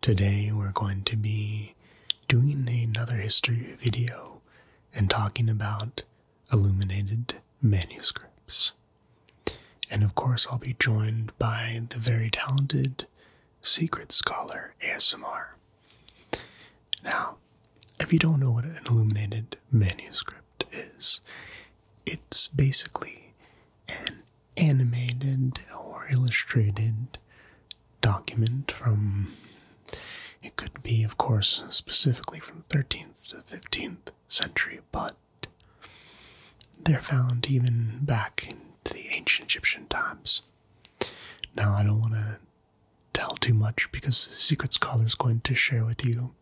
Today we're going to be doing another history video and talking about illuminated manuscripts. And of course, I'll be joined by the very talented secret scholar ASMR. Now, if you don't know what an illuminated manuscript is, it's basically an animated or illustrated document from it could be of course specifically from 13th to 15th century but they're found even back into the ancient egyptian times now i don't want to tell too much because secret scholar is going to share with you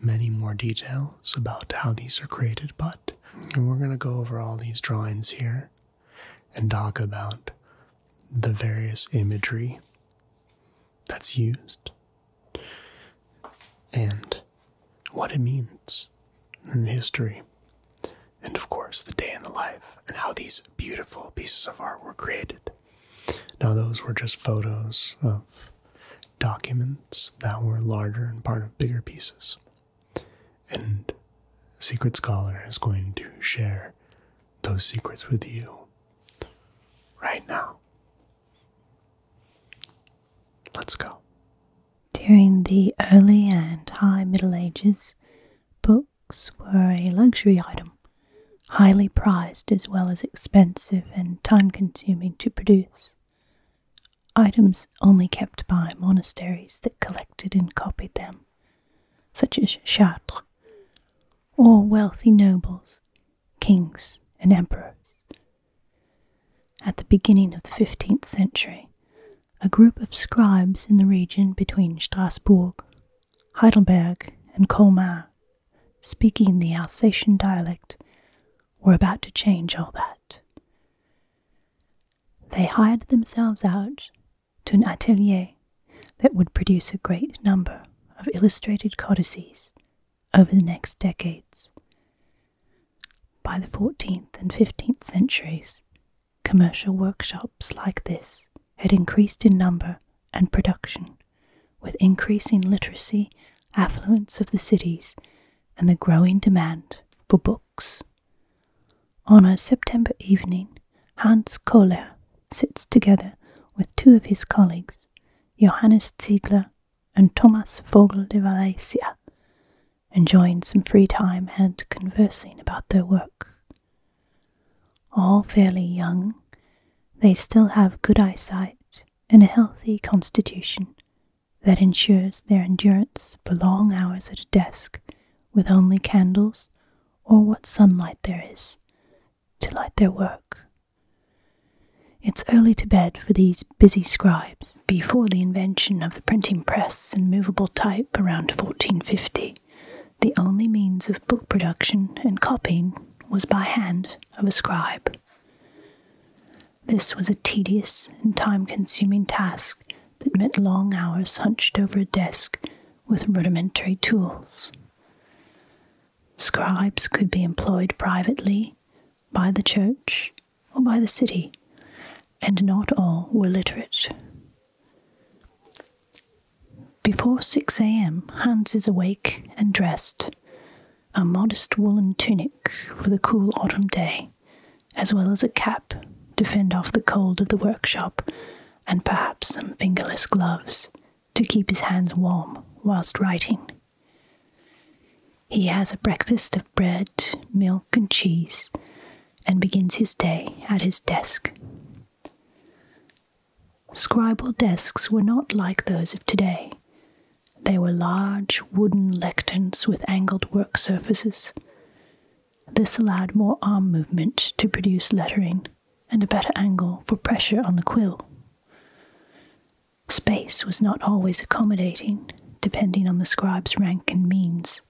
many more details about how these are created but we're going to go over all these drawings here and talk about the various imagery that's used and what it means and the history. And of course, the day in the life and how these beautiful pieces of art were created. Now, those were just photos of documents that were larger and part of bigger pieces. And Secret Scholar is going to share those secrets with you right now. Let's go. During the early and high Middle Ages, books were a luxury item, highly prized as well as expensive and time consuming to produce items only kept by monasteries that collected and copied them, such as Chartres, or wealthy nobles, kings, and emperors. At the beginning of the 15th century, a group of scribes in the region between Strasbourg, Heidelberg, and Colmar, speaking the Alsatian dialect, were about to change all that. They hired themselves out to an atelier that would produce a great number of illustrated codices over the next decades. By the 14th and 15th centuries, commercial workshops like this had increased in number and production with increasing literacy, affluence of the cities, and the growing demand for books. On a September evening, Hans Kohler sits together with two of his colleagues, Johannes Ziegler and Thomas Vogel de Valencia, enjoying some free time and conversing about their work. All fairly young, they still have good eyesight and a healthy constitution that ensures their endurance for long hours at a desk with only candles or what sunlight there is to light their work. It's early to bed for these busy scribes. Before the invention of the printing press and movable type around 1450, the only means of book production and copying was by hand of a scribe. This was a tedious and time consuming task that meant long hours hunched over a desk with rudimentary tools. Scribes could be employed privately, by the church, or by the city, and not all were literate. Before 6 a.m., Hans is awake and dressed. A modest woolen tunic for the cool autumn day, as well as a cap to fend off the cold of the workshop, and perhaps some fingerless gloves to keep his hands warm whilst writing. He has a breakfast of bread, milk, and cheese, and begins his day at his desk. Scribal desks were not like those of today. They were large wooden lecterns with angled work surfaces. This allowed more arm movement to produce lettering and a better angle for pressure on the quill. Space was not always accommodating, depending on the scribe's rank and means.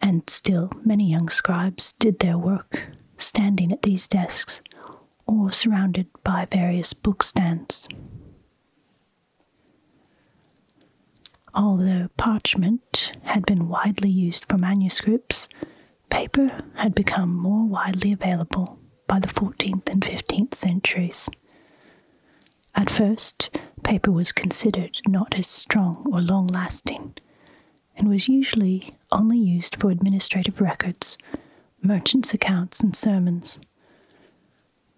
And still, many young scribes did their work standing at these desks or surrounded by various book stands. Although parchment had been widely used for manuscripts, paper had become more widely available by the 14th and 15th centuries. At first, paper was considered not as strong or long lasting, and was usually only used for administrative records, merchants' accounts, and sermons.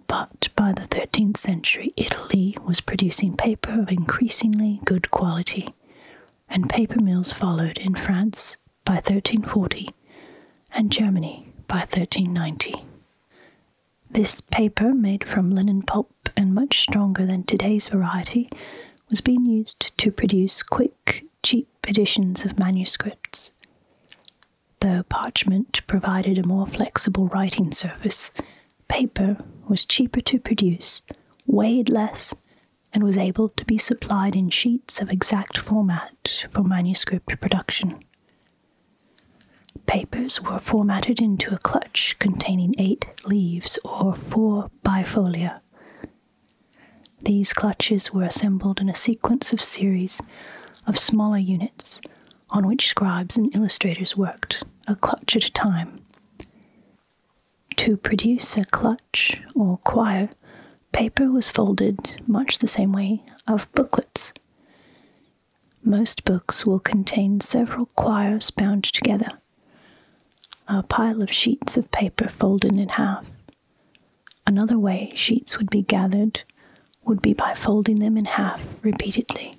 But by the 13th century, Italy was producing paper of increasingly good quality, and paper mills followed in France by 1340 and Germany by 1390. This paper, made from linen pulp and much stronger than today's variety, was being used to produce quick, cheap editions of manuscripts. Though parchment provided a more flexible writing surface, Paper was cheaper to produce, weighed less, and was able to be supplied in sheets of exact format for manuscript production. Papers were formatted into a clutch containing eight leaves or four bifolia. These clutches were assembled in a sequence of series of smaller units on which scribes and illustrators worked, a clutch at a time. To produce a clutch or quire, paper was folded much the same way of booklets. Most books will contain several quires bound together, a pile of sheets of paper folded in half. Another way sheets would be gathered would be by folding them in half repeatedly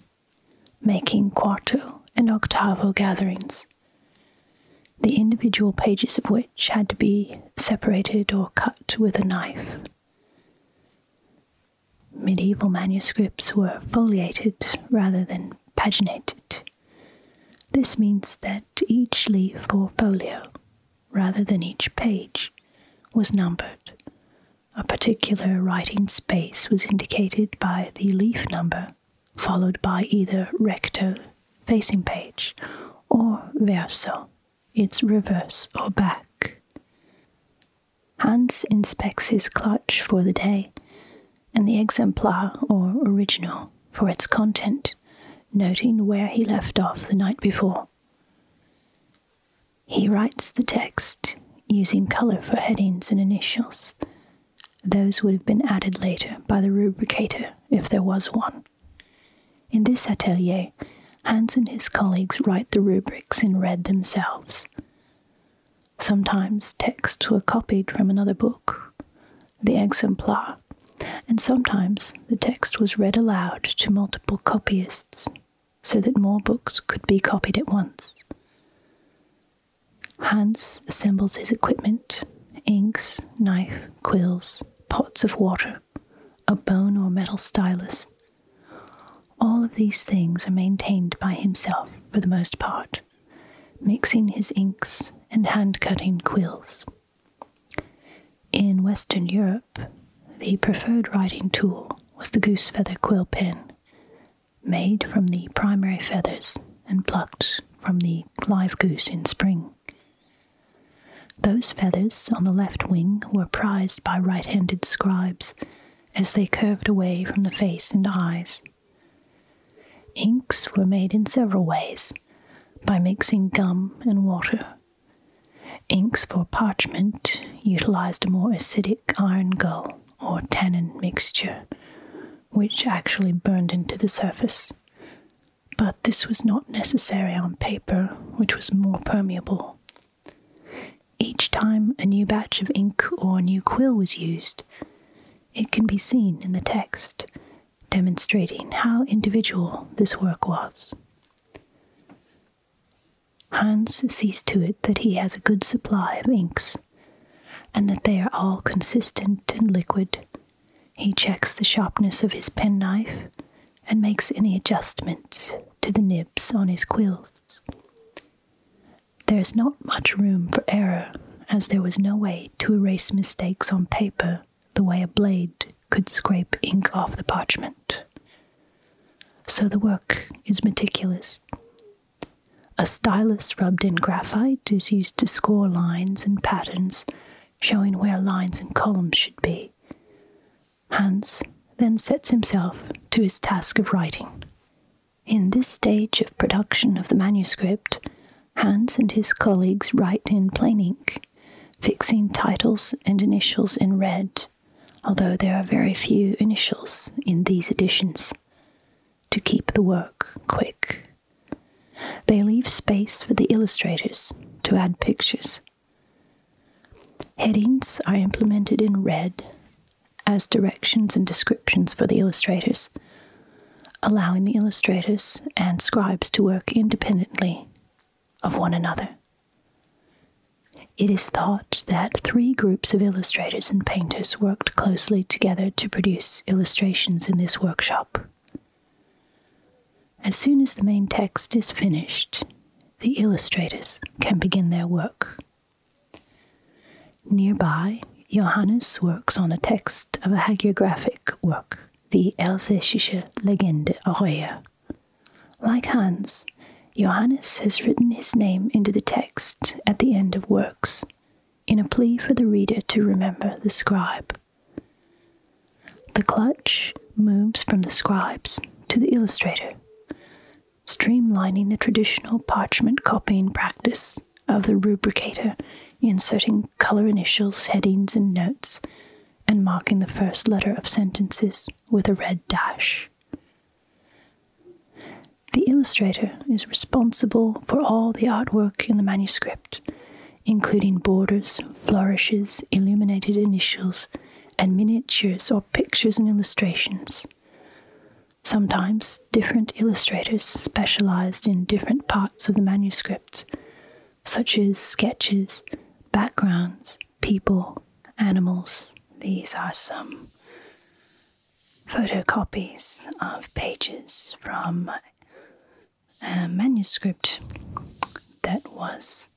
making quarto and octavo gatherings, the individual pages of which had to be separated or cut with a knife. Medieval manuscripts were foliated rather than paginated. This means that each leaf or folio, rather than each page, was numbered, a particular writing space was indicated by the leaf number, followed by either recto, facing page, or verso, its reverse or back. Hans inspects his clutch for the day, and the exemplar or original for its content, noting where he left off the night before. He writes the text using colour for headings and initials. Those would have been added later by the rubricator if there was one. In this atelier, Hans and his colleagues write the rubrics in red themselves. Sometimes texts were copied from another book, the exemplar, and sometimes the text was read aloud to multiple copyists so that more books could be copied at once. Hans assembles his equipment inks, knife, quills, pots of water, a bone or metal stylus. All of these things are maintained by himself for the most part, mixing his inks and hand cutting quills. In Western Europe, the preferred writing tool was the goose feather quill pen, made from the primary feathers and plucked from the live goose in spring. Those feathers on the left wing were prized by right handed scribes as they curved away from the face and eyes. Inks were made in several ways by mixing gum and water. Inks for parchment utilized a more acidic iron gall or tannin mixture, which actually burned into the surface. But this was not necessary on paper, which was more permeable. Each time a new batch of ink or a new quill was used, it can be seen in the text, demonstrating how individual this work was. Hans sees to it that he has a good supply of inks, and that they are all consistent and liquid. He checks the sharpness of his penknife and makes any adjustments to the nibs on his quills. There is not much room for error, as there was no way to erase mistakes on paper the way a blade could scrape ink off the parchment. So the work is meticulous, a stylus rubbed in graphite is used to score lines and patterns, showing where lines and columns should be. Hans then sets himself to his task of writing. In this stage of production of the manuscript, Hans and his colleagues write in plain ink, fixing titles and initials in red, although there are very few initials in these editions to keep the work quick. They leave space for the illustrators to add pictures. Headings are implemented in red as directions and descriptions for the illustrators, allowing the illustrators and scribes to work independently of one another. It is thought that three groups of illustrators and painters worked closely together to produce illustrations in this workshop. As soon as the main text is finished, the illustrators can begin their work. Nearby, Johannes works on a text of a hagiographic work, the Elsässische Legende Aurea. Like Hans, Johannes has written his name into the text at the end of works, in a plea for the reader to remember the scribe. The clutch moves from the scribes to the illustrator, streamlining the traditional parchment copying practice of the rubricator, inserting color initials, headings, and notes, and marking the first letter of sentences with a red dash. The illustrator is responsible for all the artwork in the manuscript, including borders, flourishes, illuminated initials, and miniatures or pictures and illustrations. Sometimes different illustrators specialized in different parts of the manuscript, such as sketches, backgrounds, people, animals. These are some photocopies of pages from a manuscript that was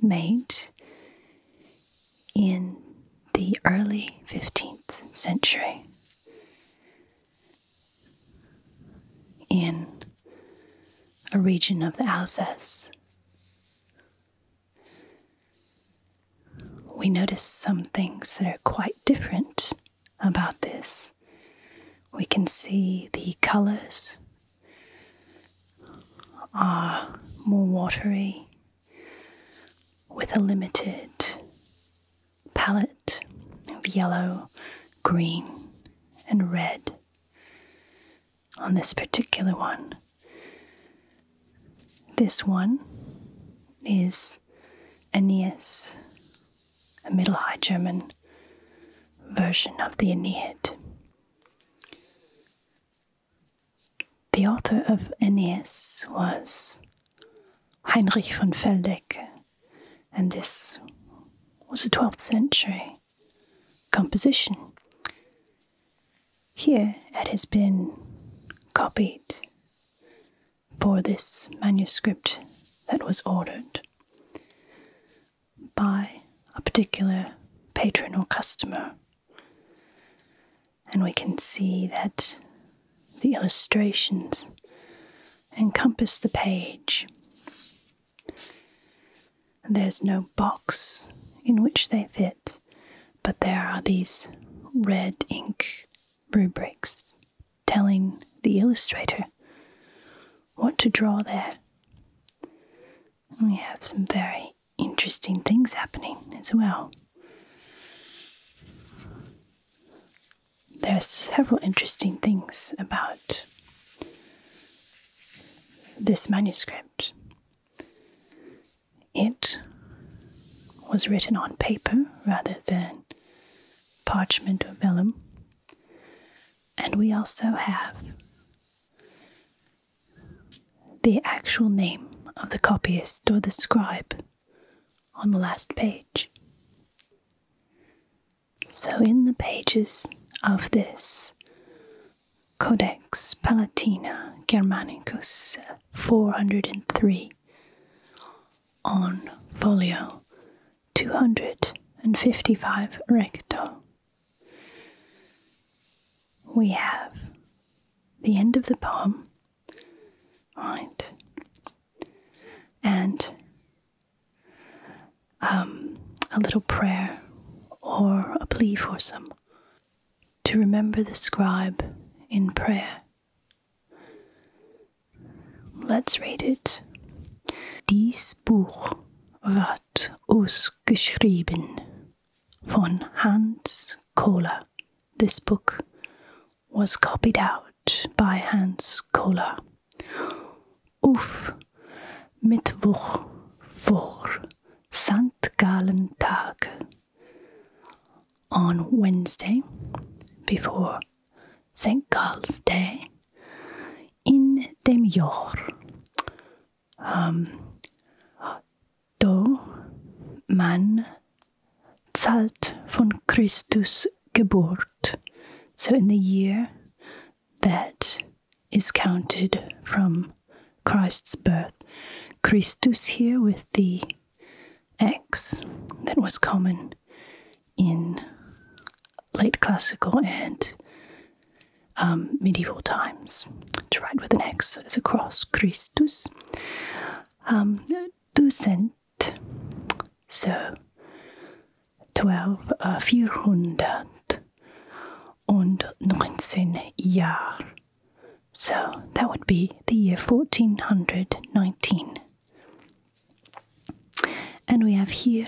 made in the early 15th century in a region of the Alsace we notice some things that are quite different about this. We can see the colors are more watery with a limited palette of yellow, green, and red on this particular one. This one is Aeneas, a Middle High German version of the Aeneid. The author of Aeneas was Heinrich von Feldecke, and this was a 12th century composition. Here it has been copied for this manuscript that was ordered by a particular patron or customer. And we can see that the illustrations encompass the page. There's no box in which they fit, but there are these red ink rubrics telling the illustrator what to draw there. we have some very interesting things happening as well. There are several interesting things about this manuscript. It was written on paper rather than parchment or vellum. And we also have the actual name of the copyist or the scribe on the last page. So, in the pages of this Codex Palatina Germanicus uh, 403 on folio 255 recto. We have the end of the poem, right? And um, a little prayer or a plea for some to remember the scribe in prayer. Let's read it. Dies Buch wird ausgeschrieben von Hans Kohler. This book was copied out by Hans Kohler. Auf Mittwoch vor St. Tage on Wednesday before St. Carl's Day in Demior. Um, do man zahlt von Christus Geburt. So in the year that is counted from Christ's birth. Christus here with thee. X that was common in late classical and um, medieval times to write with an X as a cross, Christus. Um, Ducent, so 12, uh, und 19 Jahr so that would be the year 1419. And we have here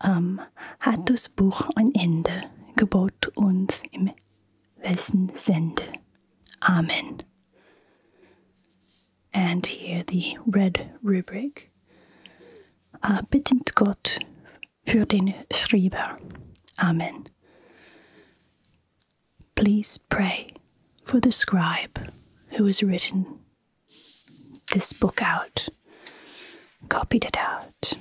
um, hat das Buch ein Ende, gebot uns im Wessen sende. Amen. And here the red rubric. Uh, bittend Gott für den Schreiber. Amen. Please pray for the scribe who has written this book out, copied it out.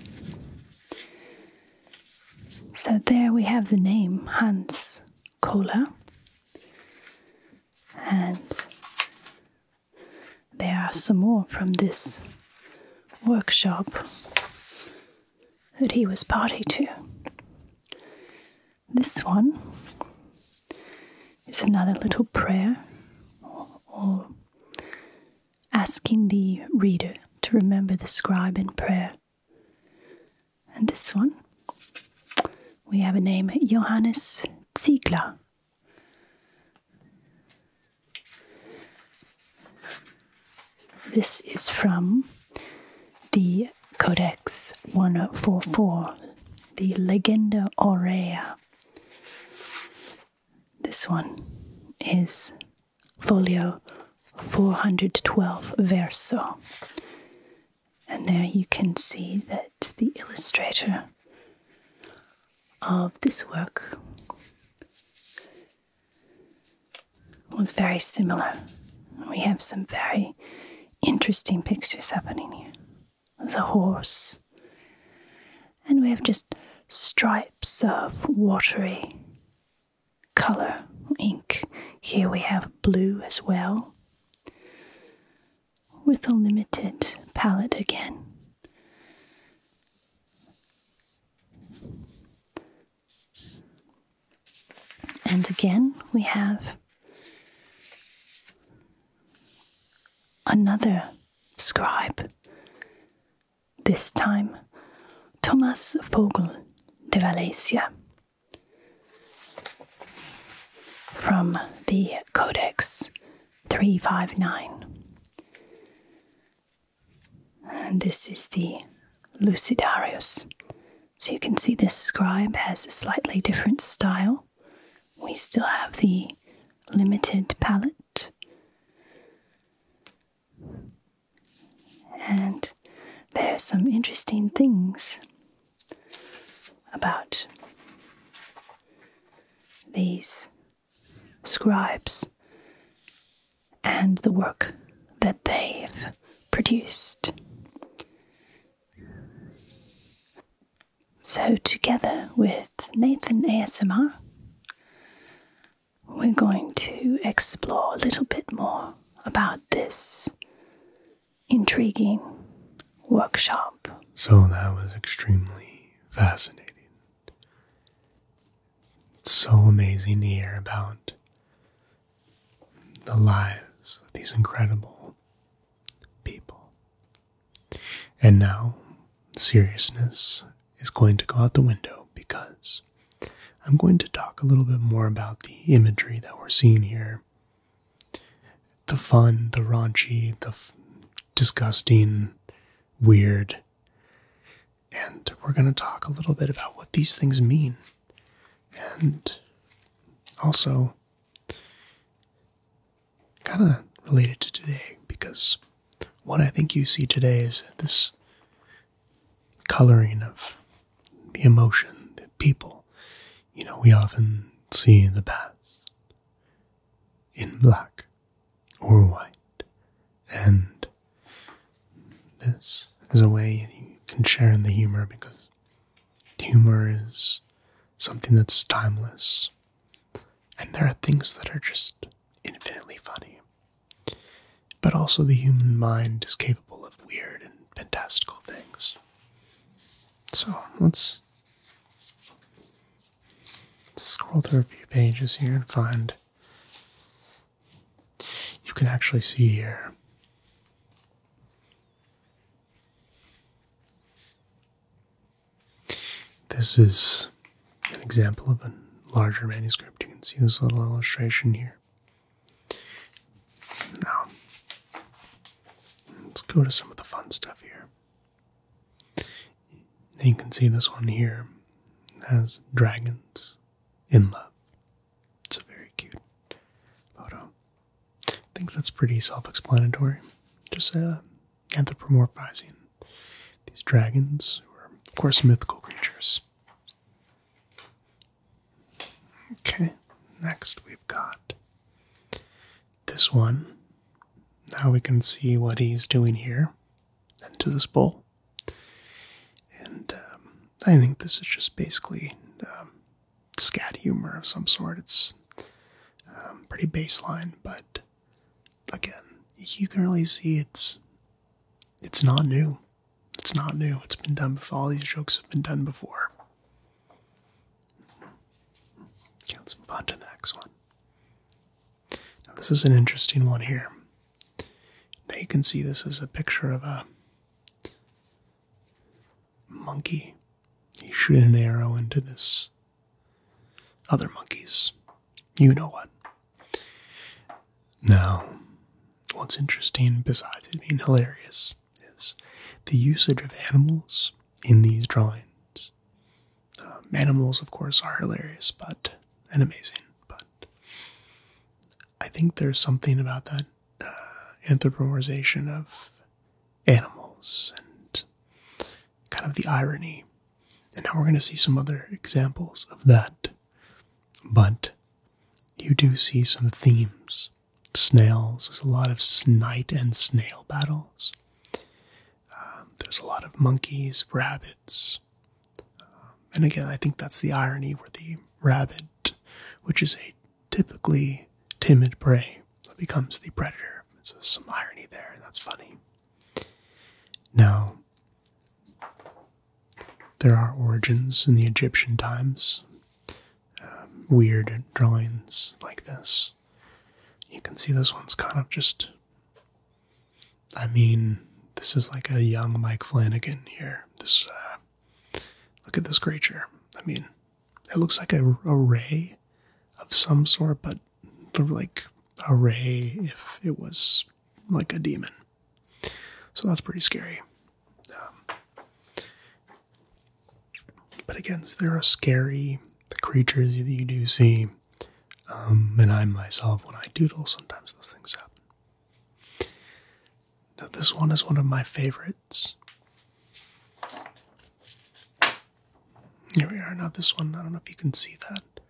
So there we have the name Hans Kohler. And there are some more from this workshop that he was party to. This one is another little prayer or, asking the reader to remember the scribe in prayer. And this one, we have a name Johannes Ziegler. This is from the Codex 1044, the Legenda Aurea. This one is folio 412 verso. And there you can see that the illustrator of this work was very similar. We have some very interesting pictures happening here. There's a horse, and we have just stripes of watery color ink. Here we have blue as well, with a limited palette again. And again, we have another scribe, this time Thomas Vogel de Valencia from the Codex 359. And this is the Lucidarius so you can see this scribe has a slightly different style. We still have the limited palette. And there are some interesting things about these scribes and the work that they've produced. So, together with Nathan ASMR, we're going to explore a little bit more about this intriguing workshop. So, that was extremely fascinating. It's so amazing to hear about the lives of these incredible people. And now, seriousness is going to go out the window because I'm going to talk a little bit more about the imagery that we're seeing here the fun, the raunchy, the disgusting, weird. And we're going to talk a little bit about what these things mean and also kind of related to today because what I think you see today is this coloring of the emotion, that people, you know, we often see in the past in black or white and this is a way you can share in the humor because humor is something that's timeless. And there are things that are just infinitely funny. But also, the human mind is capable of weird and fantastical things. So, let's scroll through a few pages here and find you can actually see here this is an example of a larger manuscript. You can see this little illustration here. Now, let's go to some of the fun stuff here. You can see this one here has dragons in love. It's a very cute photo. I think that's pretty self explanatory. Just uh, anthropomorphizing these dragons, who are, of course, mythical creatures. Okay, next we've got this one. Now we can see what he's doing here into this bowl. And um, I think this is just basically um, scat humor of some sort. It's um, pretty baseline, but again, you can really see it's it's not new. It's not new. It's been done before. All these jokes have been done before. Okay, let's move on to the next one. Now, this is an interesting one here. Now you can see this is a picture of a monkey. He shoot an arrow into this other monkey's. You know what? Now, what's interesting, besides it being hilarious, is the usage of animals in these drawings. Um, animals, of course, are hilarious, but and amazing. But I think there's something about that uh, of animals and kind of the irony. And now we're going to see some other examples of that. But you do see some themes. Snails, there's a lot of snipe and snail battles. Um, there's a lot of monkeys, rabbits. Um, and again, I think that's the irony where the rabbit which is a typically timid prey that becomes the predator. So there's some irony there, and that's funny. Now, there are origins in the Egyptian times, um, weird drawings like this. You can see this one's kind of just. I mean, this is like a young Mike Flanagan here. This uh, Look at this creature. I mean, it looks like a, ray of some sort, but like a ray if it was like a demon. So that's pretty scary. Um, but again, there are scary creatures that you do see. Um, and I myself, when I doodle, sometimes those things happen this one is one of my favorites. Here we are. Now, this one, I don't know if you can see that.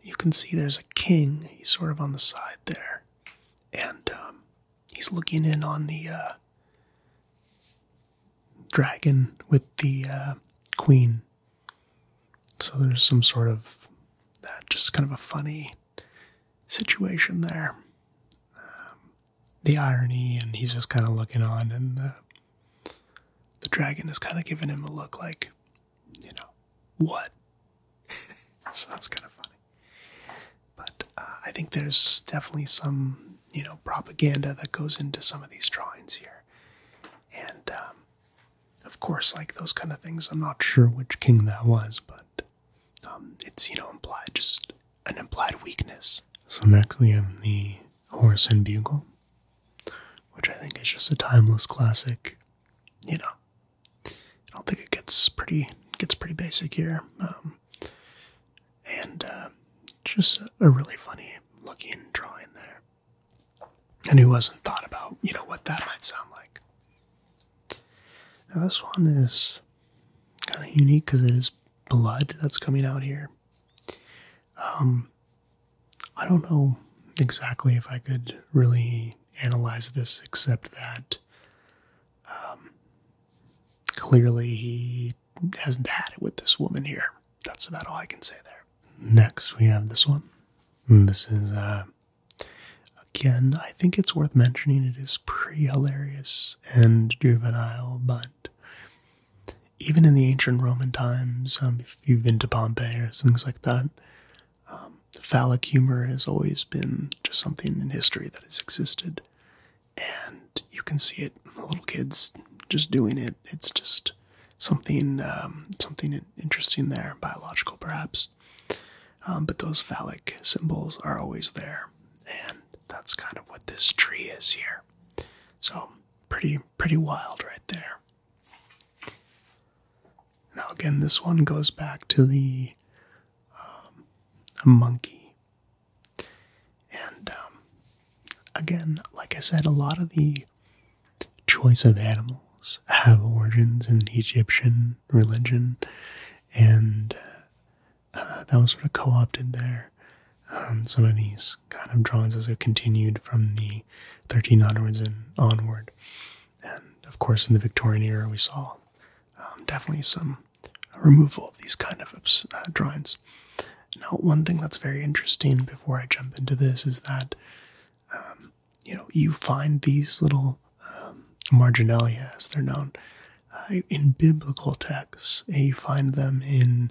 You can see there's a king. He's sort of on the side there. And um, he's looking in on the uh, dragon with the uh, queen. So there's some sort of that, just kind of a funny situation there. Um, the irony, and he's just kind of looking on, and uh, the dragon is kind of giving him a look like, you know, what? so that's kind of funny. But uh, I think there's definitely some, you know, propaganda that goes into some of these drawings here. And, um, of course, like those kind of things, I'm not sure which king that was, but um, it's, you know, implied, just an implied weakness. So next we have the Horse and Bugle, which I think is just a timeless classic. You know, I don't think it gets pretty gets pretty basic here, um, and uh, just a really funny looking drawing there. And who hasn't thought about you know what that might sound like? Now, this one is kind of unique because it is blood that's coming out here. Um, I don't know exactly if I could really analyze this, except that um, clearly he hasn't had it with this woman here. That's about all I can say there. Next, we have this one. This is uh, Again, I think it's worth mentioning it is pretty hilarious and juvenile, but even in the ancient Roman times, um, if you've been to Pompeii or things like that, um, phallic humor has always been just something in history that has existed. And you can see it, little kids just doing it. It's just something, um, something interesting there, biological perhaps. Um, but those phallic symbols are always there, and that's kind of what this tree is here. So pretty, pretty wild right there. Now again, this one goes back to the um, monkey, and um, again, like I said, a lot of the choice of animals have origins in Egyptian religion and uh, that was sort of co-opted there. Um, some of these kind of drawings also continued from the 13 onwards and onward, and of course in the Victorian era we saw um, definitely some removal of these kind of uh, drawings. Now, one thing that's very interesting before I jump into this is that um, you know you find these little um, marginalia, as they're known. Uh, in biblical texts, eh, you find them in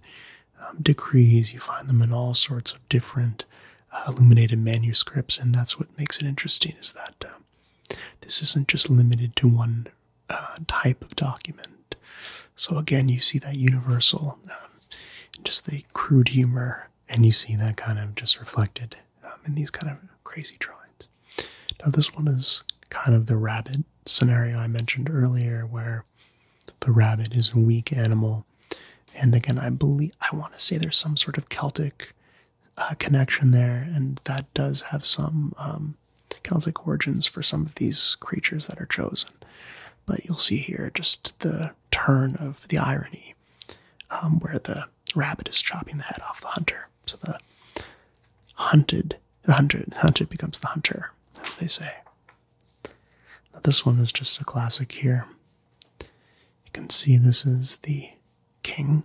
um, decrees, you find them in all sorts of different uh, illuminated manuscripts, and that's what makes it interesting is that um, this isn't just limited to one uh, type of document. So, again, you see that universal, um, just the crude humor, and you see that kind of just reflected um, in these kind of crazy drawings. Now, this one is kind of the rabbit scenario I mentioned earlier, where the rabbit is a weak animal. And again, I believe I want to say there's some sort of Celtic uh, connection there, and that does have some um, Celtic origins for some of these creatures that are chosen. But you'll see here just the turn of the irony, um, where the rabbit is chopping the head off the hunter. So the hunted, hunted, hunted becomes the hunter, as they say. Now this one is just a classic here. You can see this is the king,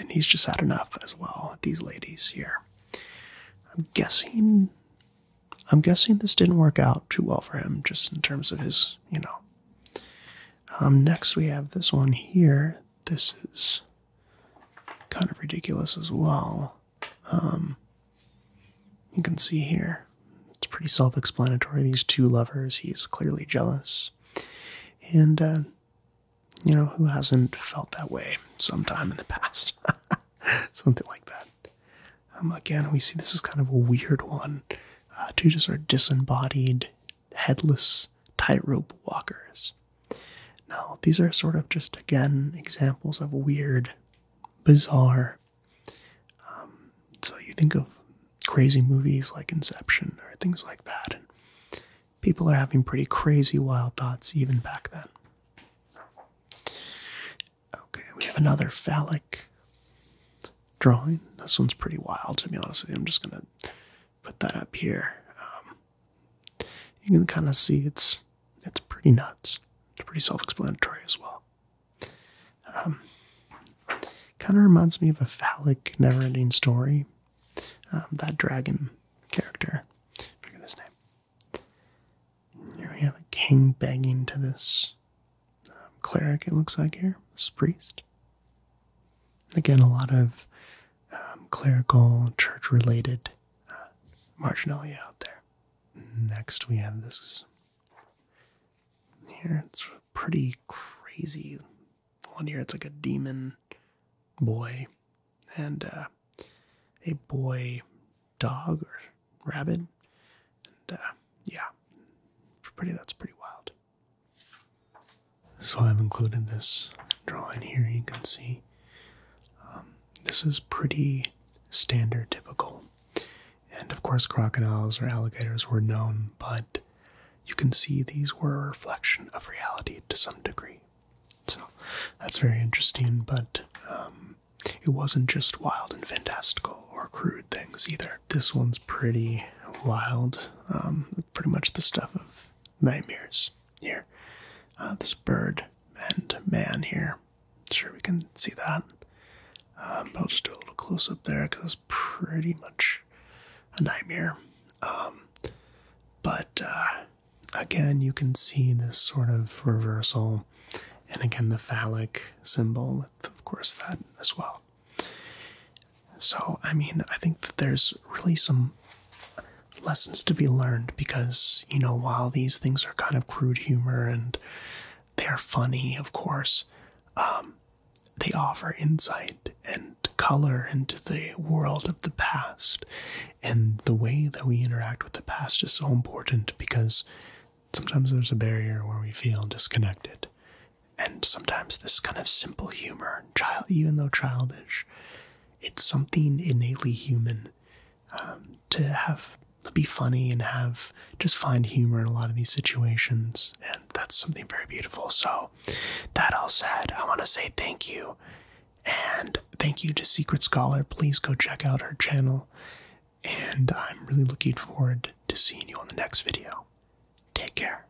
and he's just had enough as well. These ladies here. I'm guessing. I'm guessing this didn't work out too well for him, just in terms of his, you know. Um, next, we have this one here. This is kind of ridiculous as well. Um, you can see here, it's pretty self explanatory. These two lovers, he's clearly jealous. And, uh, you know, who hasn't felt that way sometime in the past? Something like that. Um, again, we see this is kind of a weird one. Uh, two just are disembodied headless tightrope walkers. Now, these are sort of just again examples of weird, bizarre. Um, so you think of crazy movies like Inception or things like that, people are having pretty crazy, wild thoughts even back then. Okay, we have another phallic drawing. This one's pretty wild, to be honest with you. I'm just gonna put that up here. Um, you can kind of see it's it's pretty nuts. It's pretty self-explanatory as well. Um, kind of reminds me of a phallic, never-ending story. Um, that dragon character, forget his name. Here we have a king begging to this um, cleric. It looks like here, this priest. Again, a lot of um, clerical, church related uh, marginalia out there. Next, we have this here. It's pretty crazy. One here, it's like a demon boy and uh, a boy dog or rabbit. And uh, yeah, pretty. That's pretty wild. So I've included this drawing here. You can see um, this is pretty standard, typical. And of course, crocodiles or alligators were known, but you can see these were a reflection of reality to some degree. So that's very interesting, but um, it wasn't just wild and fantastical or crude things either. This one's pretty wild, um, pretty much the stuff of nightmares here. Uh, this bird and man here. Sure, we can see that. Uh, I'll just do a little close up there because it's pretty much a nightmare. Um, but uh, again, you can see this sort of reversal, and again, the phallic symbol, with, of course, that as well. So, I mean, I think that there's really some lessons to be learned because, you know, while these things are kind of crude humor and they are funny, of course, um, they offer insight and color into the world of the past. And the way that we interact with the past is so important because sometimes there's a barrier where we feel disconnected. And sometimes this kind of simple humor even though childish, it's something innately human um, to have be funny and have just find humor in a lot of these situations, and that's something very beautiful. So, that all said, I want to say thank you, and thank you to Secret Scholar. Please go check out her channel, and I'm really looking forward to seeing you on the next video. Take care.